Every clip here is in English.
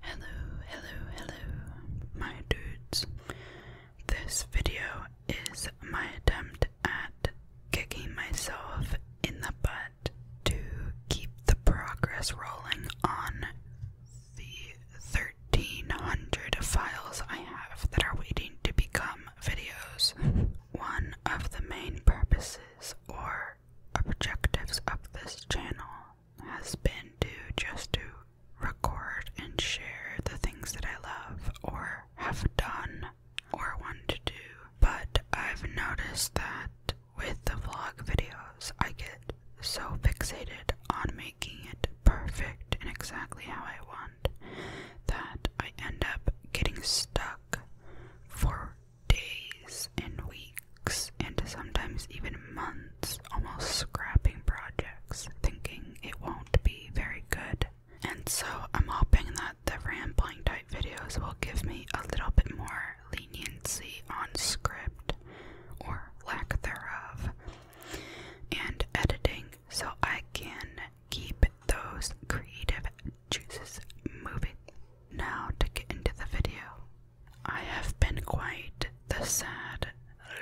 Hello, hello, hello, my dudes. This video is my attempt at kicking myself in the butt to keep the progress rolling on the 1300 files I have that are waiting to become videos. One of the main purposes or objectives of this channel has been to just to record and share the things that I love or have done or want to do. But I've noticed that with the vlog videos, I get so fixated on making it perfect and exactly how I want that I end up getting stuck for days and weeks and sometimes even months almost scrapping projects thinking it won't be very good. And so I'm hoping that the rambling type videos will give me a little bit more leniency on script or lack thereof and editing so I can keep those creative juices moving. Now to get into the video. I have been quite the sad,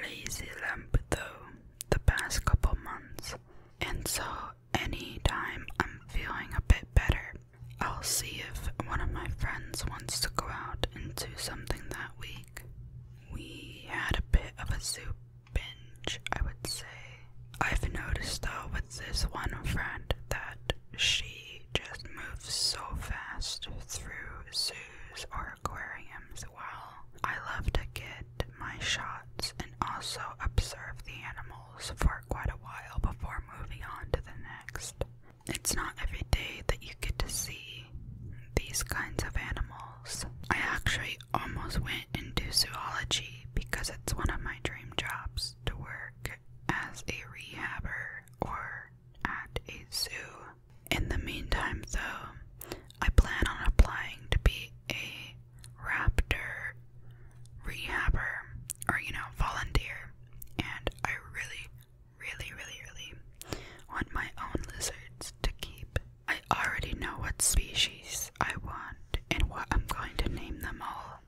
lazy lump though the past couple months, and so any time I'm feeling a bit better, I'll see if one of my friends wants to go out and do something that week. We had a bit of a soup binge, I would say. I've noticed though with this one friend that she just moves so fast through zoos or aquariums. Well, I love to get my shots and also observe the animals for quite a while before moving on to the next. It's not every day that you get to see these kinds of animals. I actually almost went into zoology because it's one of my dream jobs to work as a rehabber or at a zoo. In the meantime, though, I plan on applying to be a raptor rehabber or, you know, volunteer. And I really, really, really, really want my own lizards to keep. I already know what species I want and what I'm going to name them all.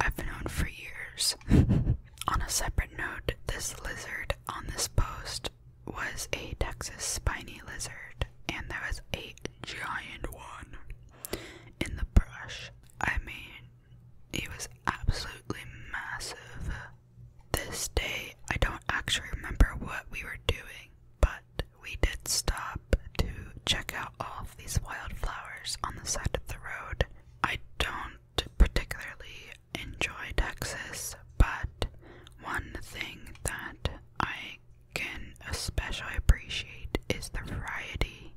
I've known for years. on a separate note, this lizard on this post was a Texas spiny lizard, and there was a giant one in the brush. I mean, it was absolutely massive. This day, I don't actually remember what we were doing, but we did stop to check out all of these wildflowers on the side of the road. I don't do particularly enjoy Texas, but one thing that I can especially appreciate is the variety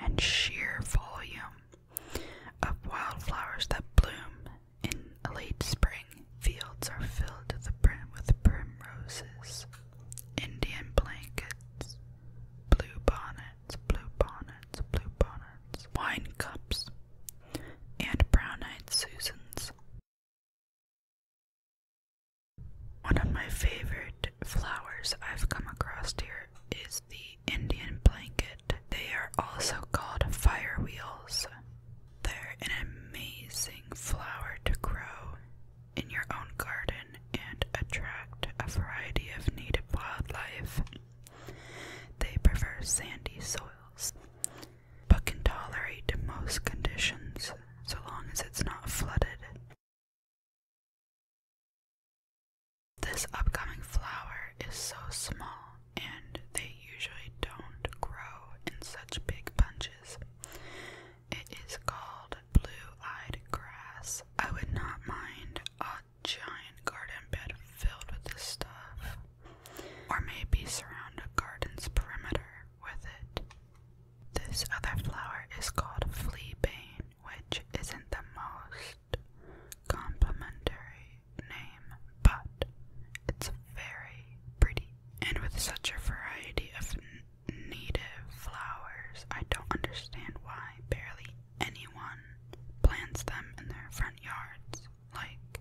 and sheer volume of wildflowers that bloom in late spring. Fields are filled to the brim with primroses, Indian blankets, blue bonnet, blue bonnets, blue bonnets, wine cups, and brown eyed Susans. One of my favorite flowers I've come across here is the Indian blanket. They are also called fire wheels. They're an amazing flower to grow in your own garden and attract a variety of native wildlife. They prefer sandy soils, but can tolerate most conditions so long as it's not flooded. This upcoming flower is so small, and they usually don't grow in such big bunches. It is called blue eyed grass. I would not mind a giant garden bed filled with this stuff, or maybe surround a garden's perimeter with it. This other flower is called fleabane, which isn't the most complimentary name, but it's very pretty. And with such a variety of native flowers, I don't understand why barely anyone plants them in their front yards. Like,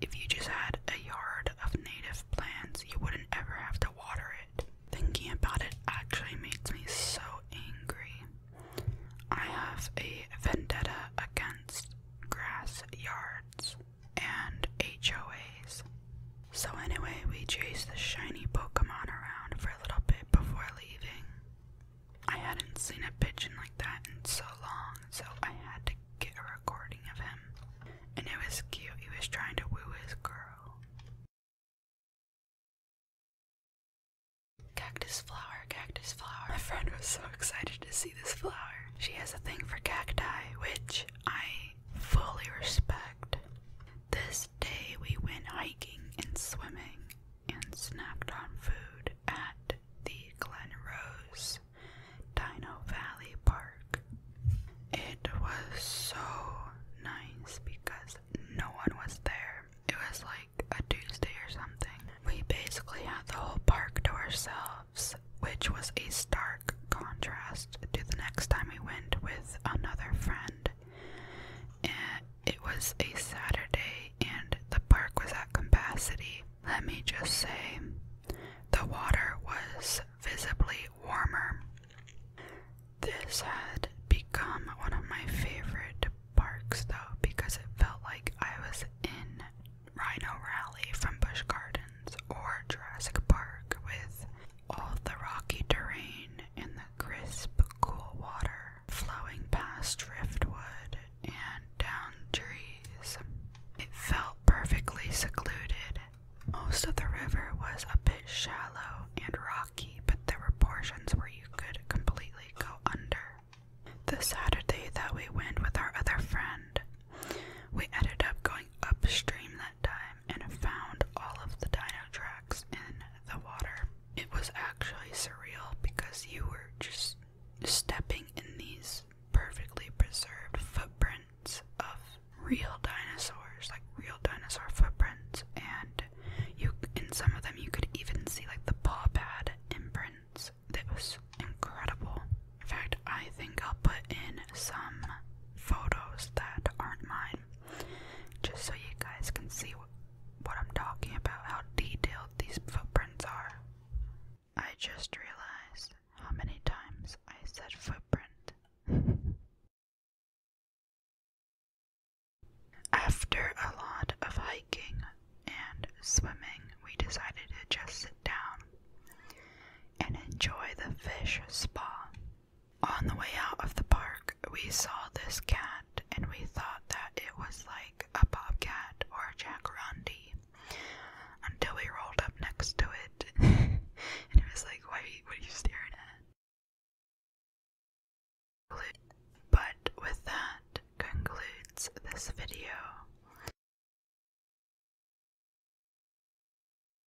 if you just had a yard of native plants, you wouldn't ever have to water it. Thinking about it actually makes me so angry. I have a vendetta against grass yards and HOAs. So, anyway, we chased the shiny Pokemon around for a little bit before leaving. I hadn't seen a pigeon like that in so long, so I had to get a recording of him. And it was cute, he was trying to woo his girl. Cactus flower, cactus flower. My friend was so excited to see this flower. She has a thing for cacti, which I fully respect. This day we went hiking and swimming and snacked on food at the Glen Rose Dino Valley Park. It was so nice because no one was there. It was like a Tuesday or something. We basically had the whole park to ourselves, which was a stark contrast to the next time we went with another friend and it was a Saturday and the park was at capacity. Let me just say, the water was visibly warmer. This had become one of my favorite parks though because it felt like I was in Rhino Rally from Busch Gardens or Jurassic Park with all the rocky terrain and the crisp, cool water flowing past driftwood and down trees. It felt perfectly secluded. Most of the river was a bit shallow and rocky, but there were portions where you could completely go under. The Saturday that we went with our other friend, we ended up going upstream that time time and found all of the dino tracks in the water. It was actually surreal because you were just stepping in these perfectly preserved footprints of real dinosaurs, like real dinosaur footprints, and you in some of them you could even see like the paw pad imprints. That was incredible. In fact, I think I'll put in some photos that aren't mine just so you guys can see what, what I'm talking about, how detailed these footprints are. I just realized how many times I said footprint. After a lot of hiking and swimming, we decided to just sit down and enjoy the fish spa. On the way out of the park, we saw this cat and we thought that it was like a bobcat or a jacarandi until we rolled up next to it and it was like, why, what are you staring at? But with that concludes this video.